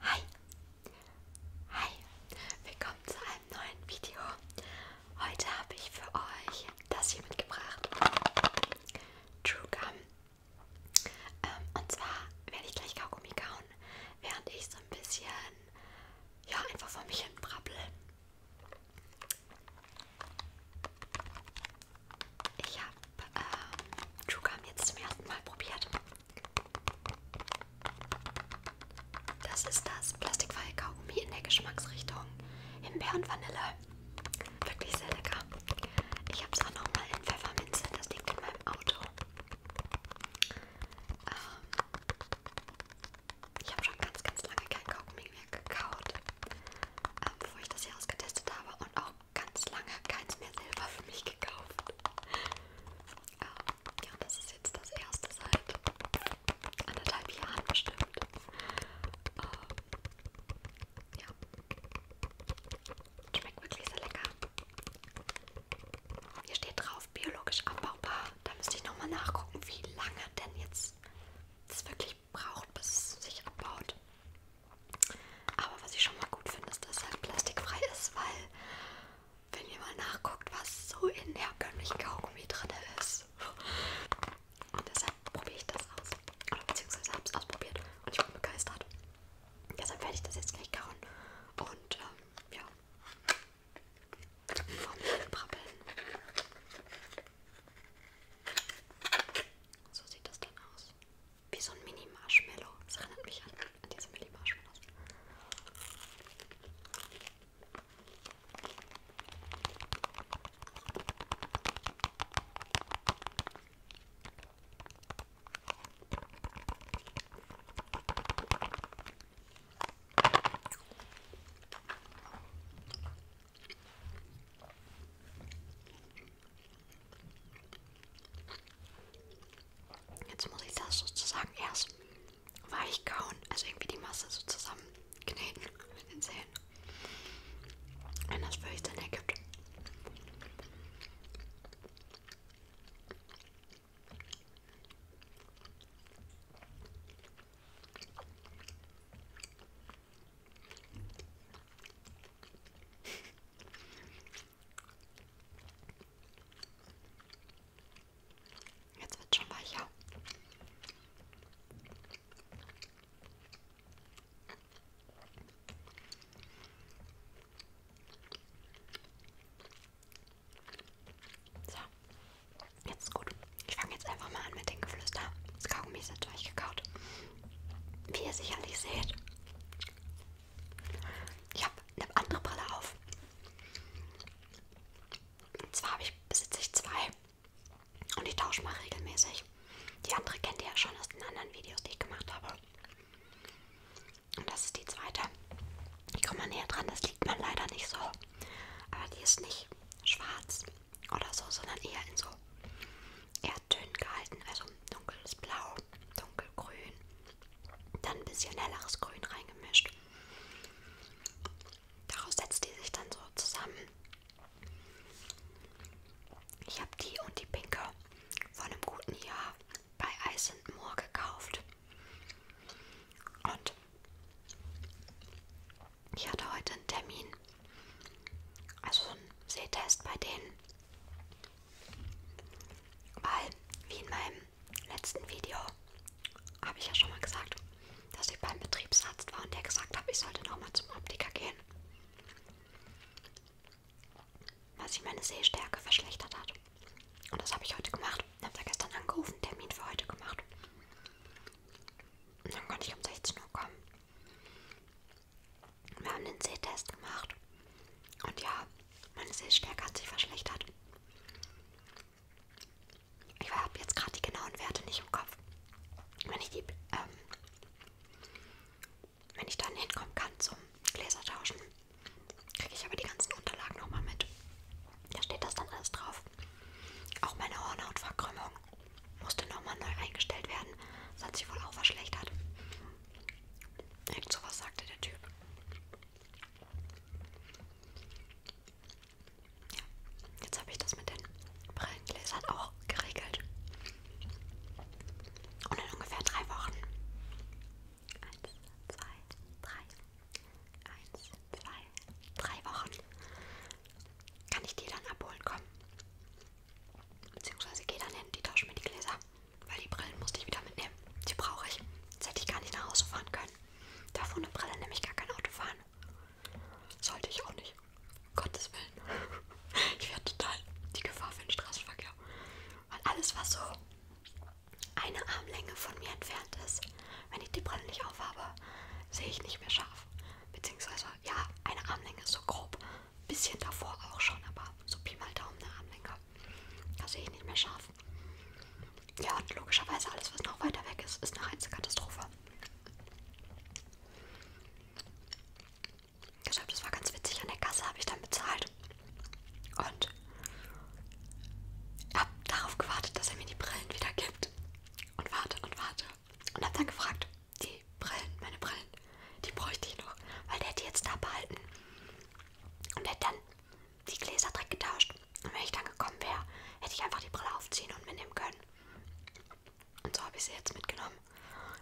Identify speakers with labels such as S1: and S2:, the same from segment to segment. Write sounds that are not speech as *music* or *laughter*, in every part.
S1: Hi! Hi! Willkommen zu einem neuen Video. Heute habe ich für euch das hier mitgebracht. True Gum. Ähm, und zwar werde ich gleich Kaugummi kauen, während ich so ein bisschen, ja, einfach vor mich hin brabbel. Ich habe ähm, Trugam jetzt zum ersten Mal probiert. Das ist das plastikfreie Kaugummi in der Geschmacksrichtung Himbeer und Vanille. Wirklich sehr lecker. Ich habe es auch nochmal in Pfefferminze, das liegt in meinem Auto. Ähm, ich habe schon ganz, ganz lange kein Kaugummi mehr gekaut, ähm, bevor ich das hier ausgetestet habe und auch ganz lange keins mehr selber für mich gekauft. Ähm, ja, das ist jetzt das erste seit anderthalb Jahren bestimmt. Ähm, ja. Schmeckt wirklich sehr lecker. Hier steht drauf, biologisch abbaubar. Da müsste ich nochmal nachgucken, wie lange denn jetzt das wirklich braucht, bis es sich abbaut. Aber was ich schon mal gut finde, ist, dass es halt plastikfrei ist, weil wenn ihr mal nachguckt, was so in herkömmlichen Kaugummi drin ist. Und deshalb probiere ich das aus. Oder beziehungsweise habe es ausprobiert und ich bin begeistert. Deshalb werde ich das jetzt gleich kauen. Und ähm, ja, vom Brabbeln. So sieht das dann aus. Wie so ein Mini-Marshmallow. Das erinnert mich an, an diese Mini-Marshmallows. Jetzt muss ich das sozusagen erst weich kauen, also irgendwie die Masse so zusammenkneten mit den Zähnen. Wenn das für euch dann ergibt. Jetzt wird schon weicher. So. Jetzt ist gut. Ich fange jetzt einfach mal an mit dem Geflüster. Das Kaugummi ist jetzt durchgekaut. Wie ihr sicherlich seht, ich habe eine andere Brille auf. Und zwar ich, besitze ich zwei und ich tausche mal regelmäßig. Die andere kennt ihr ja schon aus den anderen Videos, die ich gemacht habe. Und das ist die zweite. Ich komme mal näher dran, das liegt man leider nicht so. Aber die ist nicht schwarz oder so, sondern eher in so eher dünn gehalten. Also dunkles Blau, dunkelgrün, dann ein bisschen helleres Grün reingemischt. Daraus setzt die sich dann so zusammen. Ich habe die und die pinke vor einem guten Jahr bei Ice Moor gekauft. Und ich hatte heute einen Termin, also einen Sehtest bei denen, weil, wie in meinem letzten Video, habe ich ja schon mal gesagt, dass ich beim Betriebsarzt war und der gesagt hat, ich sollte nochmal zum Optiker gehen, weil sich meine Sehstärke verschlechtert hat. Und das habe ich heute gemacht. Ich habe da gestern angerufen, Termin für heute gemacht. Dann konnte ich um 16 Uhr kommen. Wir haben den Sehtest gemacht. Und ja, meine Sehstärke hat sich verschlechtert. Ich habe jetzt gerade die genauen Werte nicht im Kopf. Wenn ich die, ähm, wenn ich dann hinkommen kann zum Gläser tauschen, kriege ich aber die ganzen Unterlagen nochmal mit. Da steht das dann alles drauf. Auch meine Hornhautverkrümmung musste nochmal neu eingestellt werden. Das hat sich wohl auch verschlechtert. Irgend sowas sagte der Typ. Ja, jetzt habe ich das mit den Brillengläsern auch geregelt. Und in ungefähr drei Wochen. Eins, zwei, drei, eins, zwei, drei Wochen kann ich die dann abholen kommen. Beziehungsweise gehe dann hin, die tausche mir die Gläser, weil die Brillen musste ich wieder mitnehmen. Die brauche ich. Jetzt hätte ich gar nicht nach Hause fahren können. Darf ohne Brille nämlich gar kein Auto fahren. Sollte ich auch nicht. Um Gottes Willen. *laughs* Ich wäre total die Gefahr für den Straßenverkehr. Weil alles, was so eine Armlänge von mir entfernt ist, wenn ich die Brille nicht aufhabe, sehe ich nicht mehr scharf. Beziehungsweise, ja, eine Armlänge ist so grob. Bisschen davor auch schon, aber so Pi mal Daumen eine Armlänge. Da sehe ich nicht mehr scharf. Ja, und logischerweise alles, was noch weiter weg ist, ist eine heiße Katastrophe. Deshalb, das war ganz witzig. An der Kasse habe ich dann bezahlt. Und habe darauf gewartet, dass er mir die Brillen wieder gibt und warte und warte und hab dann gefragt, die Brillen, meine Brillen, die bräuchte ich noch, weil der hätte jetzt da behalten und hätte dann die Gläser direkt getauscht. Und wenn ich dann gekommen wäre, hätte ich einfach die Brille aufziehen und mitnehmen können. Und so habe ich sie jetzt mitgenommen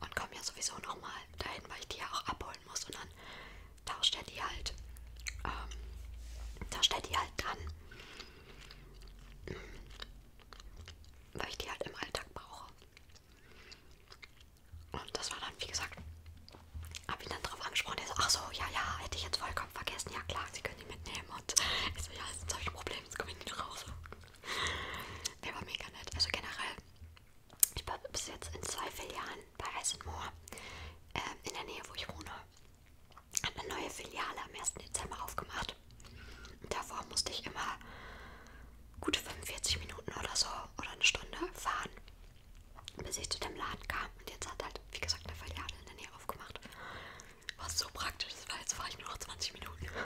S1: und komme ja sowieso nochmal dahin, weil ich die ja auch abholen muss. Und dann tauscht er die halt, ähm, tauscht er die halt dran weil ich die halt im Alltag brauche. Und das war dann, wie gesagt, habe ich dann drauf angesprochen. Der so, ach so, ja, ja, hätte ich jetzt vollkommen vergessen. Ja, klar, sie können die mitnehmen. Und ich so, ja, jetzt habe ich ein Problem, jetzt komme ich nicht raus. Der war mega nett. Also generell, ich war bis jetzt in zwei Filialen bei Eisenmoor, ähm, in der Nähe, wo ich wohne hat eine neue Filiale am 1. Dezember aufgemacht. Und davor musste ich immer gute 45 Minuten oder so oder eine Stunde fahren, bis ich zu dem Laden kam. Und jetzt hat halt, wie gesagt, eine Filiale in der Nähe aufgemacht. War so praktisch, weil jetzt fahre ich nur noch 20 Minuten. *laughs*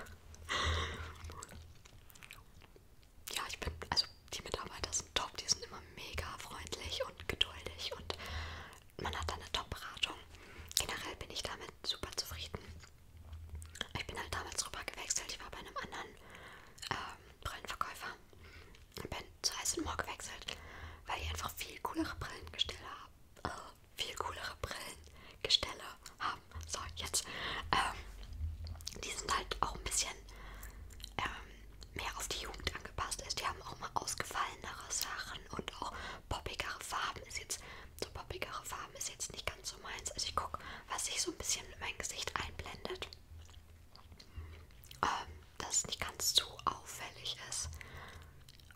S1: Ja, ich bin, also die Mitarbeiter sind top, die sind immer mega freundlich und geduldig und man hat da eine Top-Beratung. Generell bin ich damit super zufrieden. Ich bin halt damals rüber gewechselt. Ich war bei einem anderen ähm, Brillenverkäufer und bin zu Eisenmoor gewechselt, weil die einfach viel coolere Brillengestelle haben. Äh, viel coolere Brillengestelle haben. So, jetzt. Ähm, die sind halt auch ein bisschen ähm, mehr auf die Jugend angepasst. Ist. Die haben auch mal ausgefallenere Sachen und auch poppigere Farben ist jetzt, so poppigere Farben ist jetzt nicht ganz so meins. Also ich gucke, was sich so ein bisschen in mein Gesicht einblendet, ähm, dass es nicht ganz zu auffällig ist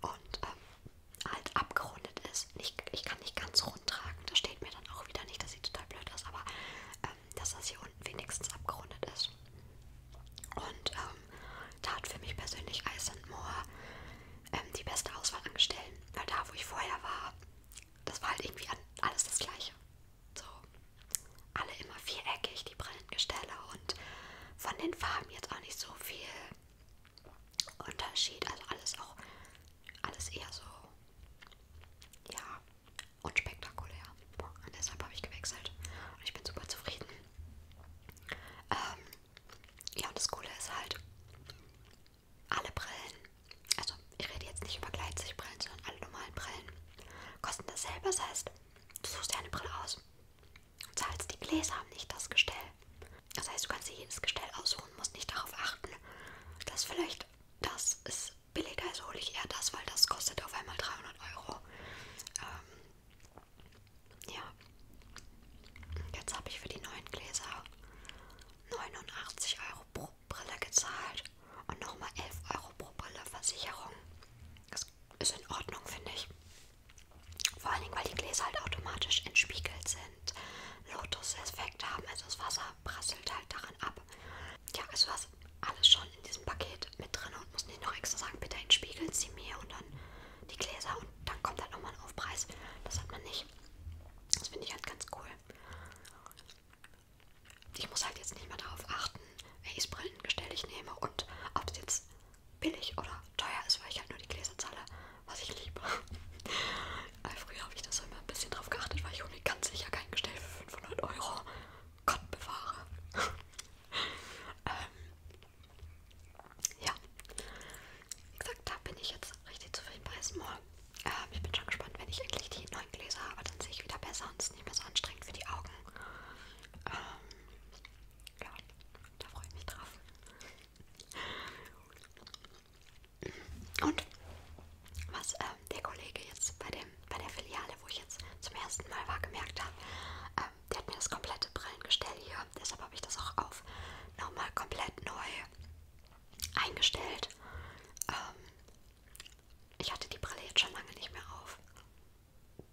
S1: und ähm, halt abgerundet ist. Nicht, ich kann nicht ganz rund tragen, das steht mir dann auch wieder nicht, das sieht total blöd aus, aber ähm, dass das hier unten wenigstens abgerundet ist. Und ähm, bekommen. Da hat für mich persönlich Ice and More ähm, die beste Auswahl angestellt, weil da, wo ich vorher war, das war halt irgendwie alles das Gleiche. So, alle immer viereckig, die Brillengestelle und von den Farben jetzt auch nicht so viel Unterschied. Also alles auch, alles eher so, ja, unspektakulär. Und deshalb habe ich gewechselt und ich bin super zufrieden. Ähm, ja, und das Coole ist halt, alle Brillen, also ich rede jetzt nicht über Gleitsichtbrillen, sondern alle normalen Brillen, kosten dasselbe. Das heißt, du suchst dir eine Brille aus und zahlst die Gläser, nicht das Gestell. Das heißt, du kannst dir jedes Gestell aussuchen, musst nicht darauf achten, dass vielleicht das ist billiger, also hole ich eher das, weil das kostet auf einmal 300 Euro. Ähm, ja. Jetzt habe ich für die neuen Gläser 89 Euro pro Brille gezahlt und nochmal 11 Euro pro Brille Versicherung. Das ist in Ordnung, finde ich. Vor allen Dingen, weil die Gläser halt automatisch entspiegelt sind, Lotus-Effekt haben, also das Wasser prasselt halt daran ab. Ja, also was alles schon in diesem Paket mit drin und muss nicht noch extra sagen, bitte entspiegeln sie mir und dann die Gläser und dann kommt halt nochmal ein Aufpreis. Das hat man nicht. Das finde ich halt ganz cool. Ich muss halt jetzt nicht mehr darauf achten, welches Brillengestell ich nehme und ob es jetzt billig oder teuer ist, weil ich halt nur die Gläser zahle, was ich liebe. *laughs* Früher habe ich das immer ein bisschen drauf geachtet, weil ich ohne ganz sicher kein Gestell für 500 Euro Gott bewahre. *laughs* ähm, ja, wie gesagt, da bin ich jetzt richtig zufrieden bei Small. Ähm, ich bin schon gespannt, wenn ich endlich die neuen Gläser habe, dann sehe ich wieder besser und es ist nicht mehr so anstrengend für die Augen. Ähm, ja, da freue ich mich drauf. Und was ähm, der Kollege jetzt bei, dem, bei der Filiale, wo ich jetzt zum ersten Mal war, gemerkt habe, ähm, der hat mir das komplette Brillengestell hier, deshalb habe ich das auch auf nochmal komplett neu eingestellt. Ähm, ich hatte die Brille jetzt schon lange nicht mehr auf.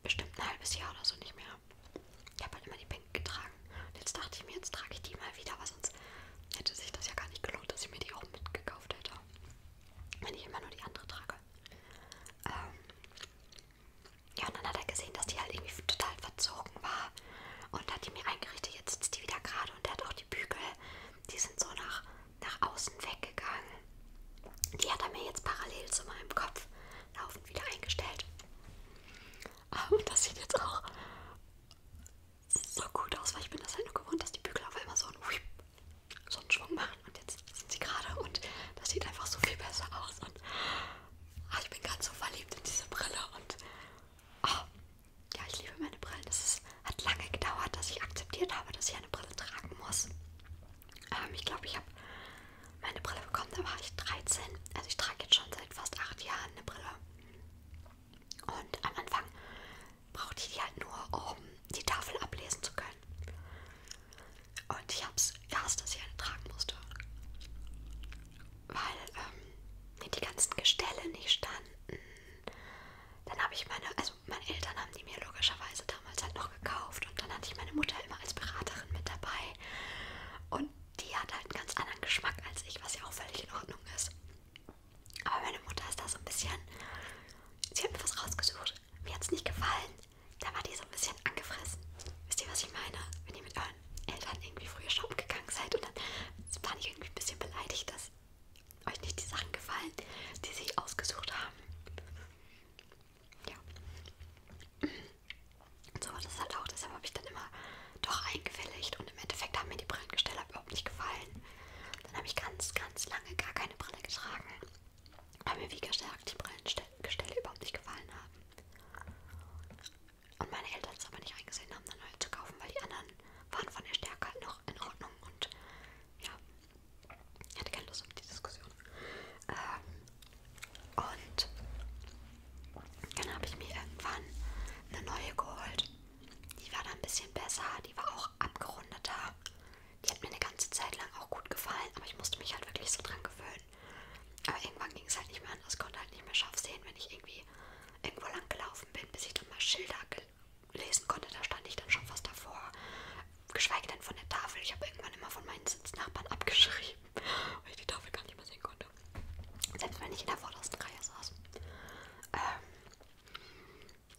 S1: Bestimmt ein halbes Jahr oder so nicht mehr. Ich habe halt immer die Pink getragen. Und jetzt dachte ich mir, jetzt trage ich die mal wieder, weil sonst hätte sich das ja gar nicht gelohnt, dass ich mir die auch mitgekauft hätte. Wenn ich immer nur die andere trage. Ähm, ja, und dann hat er gesehen, dass die halt irgendwie total verzogen war. Und hat die mir eingerichtet, jetzt sitzt die wieder gerade und der hat auch die Bügel, die sind so nach, nach außen weggegangen. Die hat er mir jetzt parallel zu meinem Kopf laufend wieder eingestellt. Und oh, das sieht jetzt auch so gut aus, weil ich bin das halt nur gewohnt, dass die Bügel auf einmal so einen, Whip, so einen Schwung machen. Und jetzt sind sie gerade und das sieht einfach so viel besser aus. Und Oh, ich bin ganz so verliebt in diese Brille und oh, ja, ich liebe meine Brillen. Es hat lange gedauert, dass ich akzeptiert habe, dass ich eine Brille tragen muss. Ähm, ich glaube, ich habe meine Brille bekommen, da war ich 13. Also ich trage jetzt schon seit fast acht Jahren eine Brille. Und am Anfang brauchte ich die halt nur, um die Tafel ablesen zu können. Und ich hab's gehasst, dass ich eine tragen musste. Weil ähm, mir die ganzen Gestelle nicht standen. Dann habe ich meine, also meine Eltern haben die mir logischerweise damals halt noch gekauft. Und dann hatte ich meine Mutter immer als Beraterin mit dabei. Und die hat halt einen ganz anderen Geschmack als ich, was ja auch völlig in Ordnung ist. Aber meine Mutter ist da so ein bisschen. Sie hat mir was rausgesucht. Mir hat es nicht gefallen da war die so ein bisschen angefressen. Wisst ihr, was ich meine? Wenn ihr mit euren Eltern irgendwie früher shoppen gegangen seid und dann waren die irgendwie ein bisschen beleidigt, dass euch nicht die Sachen gefallen, die sie ausgesucht haben. Ja. Und so war das halt auch. Deshalb habe ich dann immer doch eingewilligt und im Endeffekt haben mir die Brillengesteller halt überhaupt nicht gefallen. Dann habe ich ganz, ganz lange gar keine Brille getragen, weil mir wie gesagt die Brillengestelle überhaupt nicht gefallen haben. Und meine Eltern es aber nicht eingesehen haben, eine neue halt zu kaufen, weil die anderen waren von der Stärke halt noch in Ordnung und ja, ich hatte keine Lust auf die Diskussion. Ähm, und dann habe ich mir irgendwann eine neue geholt. Die war dann ein bisschen besser, die war auch abgerundeter. Die hat mir eine ganze Zeit lang auch gut gefallen, aber ich musste mich halt wirklich so dran gewöhnen schön. Aber irgendwann ging es halt nicht mehr anders, konnte halt nicht mehr scharf sehen, wenn ich irgendwie irgendwo lang gelaufen bin, bis ich dann mal Schilder lesen konnte. Da stand ich dann schon fast davor. Geschweige denn von der Tafel. Ich habe irgendwann immer von meinen Sitznachbarn abgeschrieben, weil ich die Tafel gar nicht mehr sehen konnte. Selbst wenn ich in der vordersten Reihe saß. Ähm,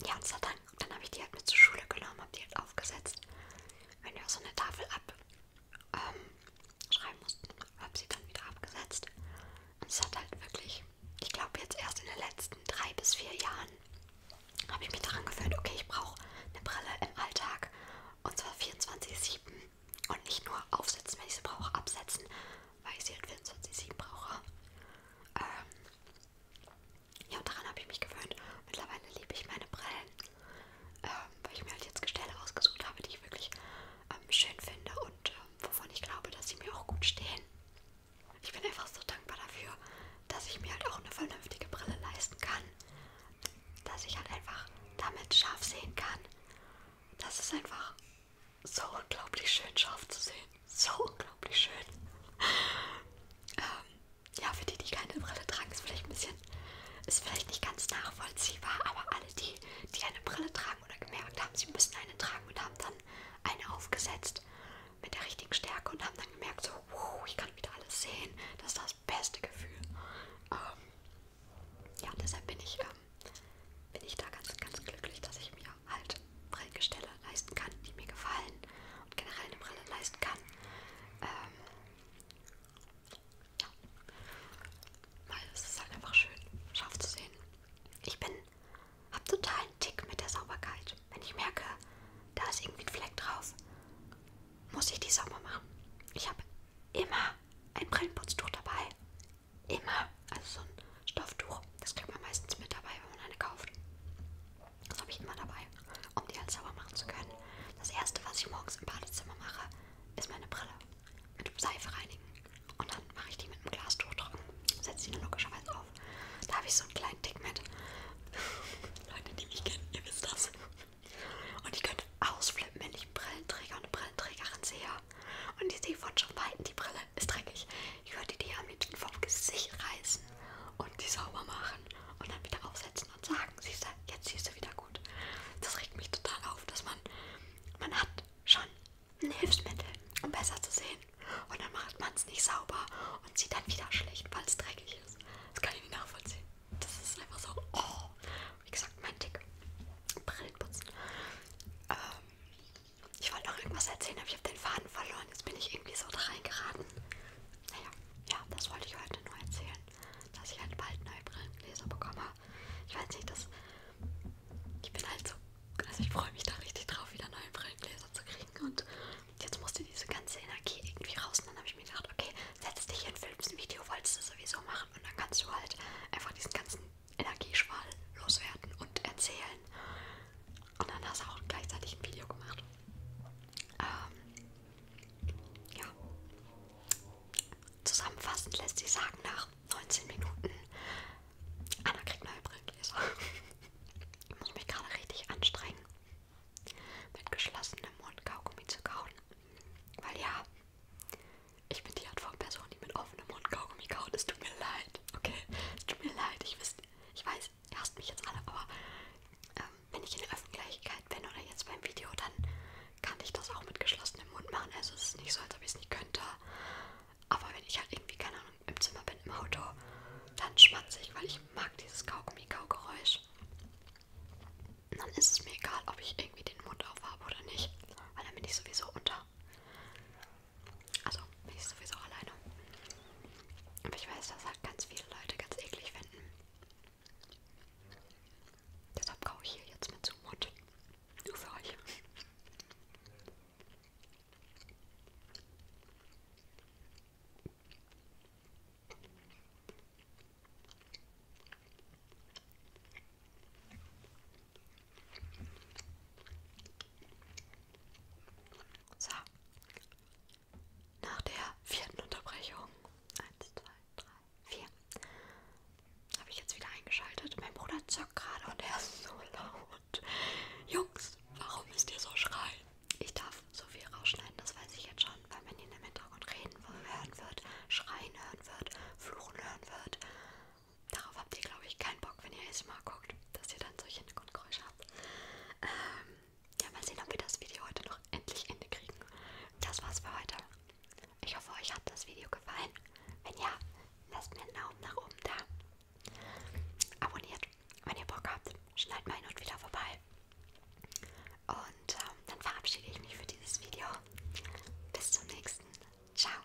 S1: ja, und dann, dann habe ich die halt mit zur Schule genommen, habe die halt aufgesetzt. Wenn du so eine Tafel ab ähm, schreiben mussten. Habe sie dann wieder abgesetzt. Und es hat halt wirklich, ich glaube jetzt erst in den letzten drei bis vier Jahren habe ich mich daran gewöhnt, okay, ich brauche eine Brille im Alltag und zwar 24-7 und nicht nur aufsetzen, wenn ich sie brauche, absetzen, weil ich sie halt 24-7 brauche. Ähm, ja, daran habe ich mich gewöhnt. Mittlerweile liebe ich meine Brillen ähm, weil ich mir halt jetzt Gestelle ausgesucht habe, die ich wirklich ähm, schön finde und ähm, wovon ich glaube, dass sie mir auch gut stehen. Ich bin einfach so dankbar dafür, dass ich mir halt auch eine vernünftige Brille leisten kann, dass ich halt einfach damit scharf sehen kann. Das ist einfach so unglaublich schön, scharf zu sehen. So unglaublich schön. ähm, ja, für die, die keine Brille tragen, ist vielleicht ein bisschen ist vielleicht nicht ganz nachvollziehbar, aber alle, die, die eine Brille tragen oder gemerkt haben, sie müssen eine tragen und haben dann eine aufgesetzt mit der richtigen Stärke und haben dann gemerkt, so, wow, ich kann wieder alles sehen. Das ist das beste Gefühl. Ähm, ja, deshalb bin ich, ähm, bin ich da ganz, ganz glücklich, dass ich mir halt Brillengestelle leisten kann, die mir gefallen und generell eine Brille leisten kann. Ähm, weil es ist halt einfach schön, scharf zu sehen. Ich bin, hab total einen Tick mit der Sauberkeit. Wenn ich merke, da ist irgendwie ein Fleck drauf, muss ich die sauber machen. Ich habe immer ein Brillenputztuch dabei. Immer. Also so ein Stofftuch. Das kriegt man meistens mit dabei, wenn man eine kauft. Das habe ich immer dabei, um die halt sauber machen zu können. Das erste, was ich morgens im Badezimmer mache, ist meine Brille mit Seife reinigen. Und dann mache ich die mit einem Glastuch trocken. Setze die dann logischerweise auf. Da habe ich so einen kleinen Tick mit. *laughs* Leute, die mich kennen, ihr wisst das. Und ich könnte ausflippen, wenn ich einen Brillenträger und eine Brillenträgerin sehe. Und ich sehe von schon weitem, die Brille ist dreckig. Ich würde die am liebsten vom Gesicht reißen und die sauber machen und dann wieder aufsetzen und sagen, siehst du, jetzt siehst du wieder gut gut. Das regt mich total auf, dass man, man hat schon ein Hilfsmittel, um besser zu sehen. Und dann macht man es nicht sauber und sieht dann wieder schlecht, weil es dreckig ist. Das kann ich nicht nachvollziehen. Das ist einfach so, oh. Wie gesagt, mein Tick. Brillenputzen. Ähm, ich wollte noch irgendwas erzählen, aber ich habe den Faden verloren. Jetzt bin ich irgendwie so da reingeraten. Naja, ja, das wollte ich heute nur erzählen dass ich halt bald neue Brillengläser bekomme. Ich weiß nicht, dass ich bin halt so, also ich freue mich da richtig drauf, wieder neue Brillengläser zu kriegen. Und jetzt musste diese ganze Energie irgendwie raus. Und dann habe ich mir gedacht, okay, setz dich hin, filmst ein Video, wolltest du sowieso machen. Und dann kannst du halt einfach diesen ganzen Energieschwall loswerden und erzählen. Und dann hast du auch gleichzeitig ein Video gemacht. Ähm, ja. Zusammenfassend lässt sich sagen, nach 19 Minuten, Anna kriegt neue Brillengläser. ich *laughs* muss mich gerade richtig anstrengen, mit geschlossenem Mund Kaugummi zu kauen. Weil ja, ich bin die Art von Person, die mit offenem Mund Kaugummi kaut. Es tut mir leid, okay? Es tut mir leid, ich, wisst, ich weiß, ihr hasst mich jetzt alle, aber ähm, wenn ich in der Öffentlichkeit bin oder jetzt beim Video, dann kann ich das auch mit geschlossenem Mund machen. Also es ist nicht so, als ob ich es nicht könnte. Aber wenn ich halt irgendwie, keine Ahnung, im Zimmer bin, im Auto, dann schmatze ich, weil ich mag dieses Kaugummi-Kaugeräusch. Dann ist es mir egal, ob ich irgendwie den Mund aufhabe oder nicht, weil dann bin ich sowieso unter. Also bin ich sowieso alleine. Aber ich weiß, dass halt ganz viele Leute ganz eklig finden. Deshalb kaue ich hier jetzt mit Zumut. Nur für euch. So, nach der vierten Unterbrechung. Eins, zwei, drei, vier. Habe ich jetzt wieder eingeschaltet. Mein Bruder zockt gerade und er ist so laut. Jungs, warum müsst ihr so schreien? Ich darf so viel rausschneiden, das weiß ich jetzt schon, weil man ihn im Hintergrund reden hören wird, schreien hören wird, fluchen hören wird. Darauf habt ihr, glaube ich, keinen Bock, wenn ihr es mal guckt, dass ihr dann solche Hintergrundgeräusche habt. Ähm, ja, mal sehen, ob wir das Video heute noch endlich Ende kriegen. Das war's für heute. Ich hoffe, euch hat das Video gefallen. Wenn ja, lasst mir einen Daumen nach oben da. Abonniert, wenn ihr Bock habt. Schneid mal hin und wieder vorbei. Und ähm, dann verabschiede ich mich für dieses Video. Bis zum nächsten. Ciao.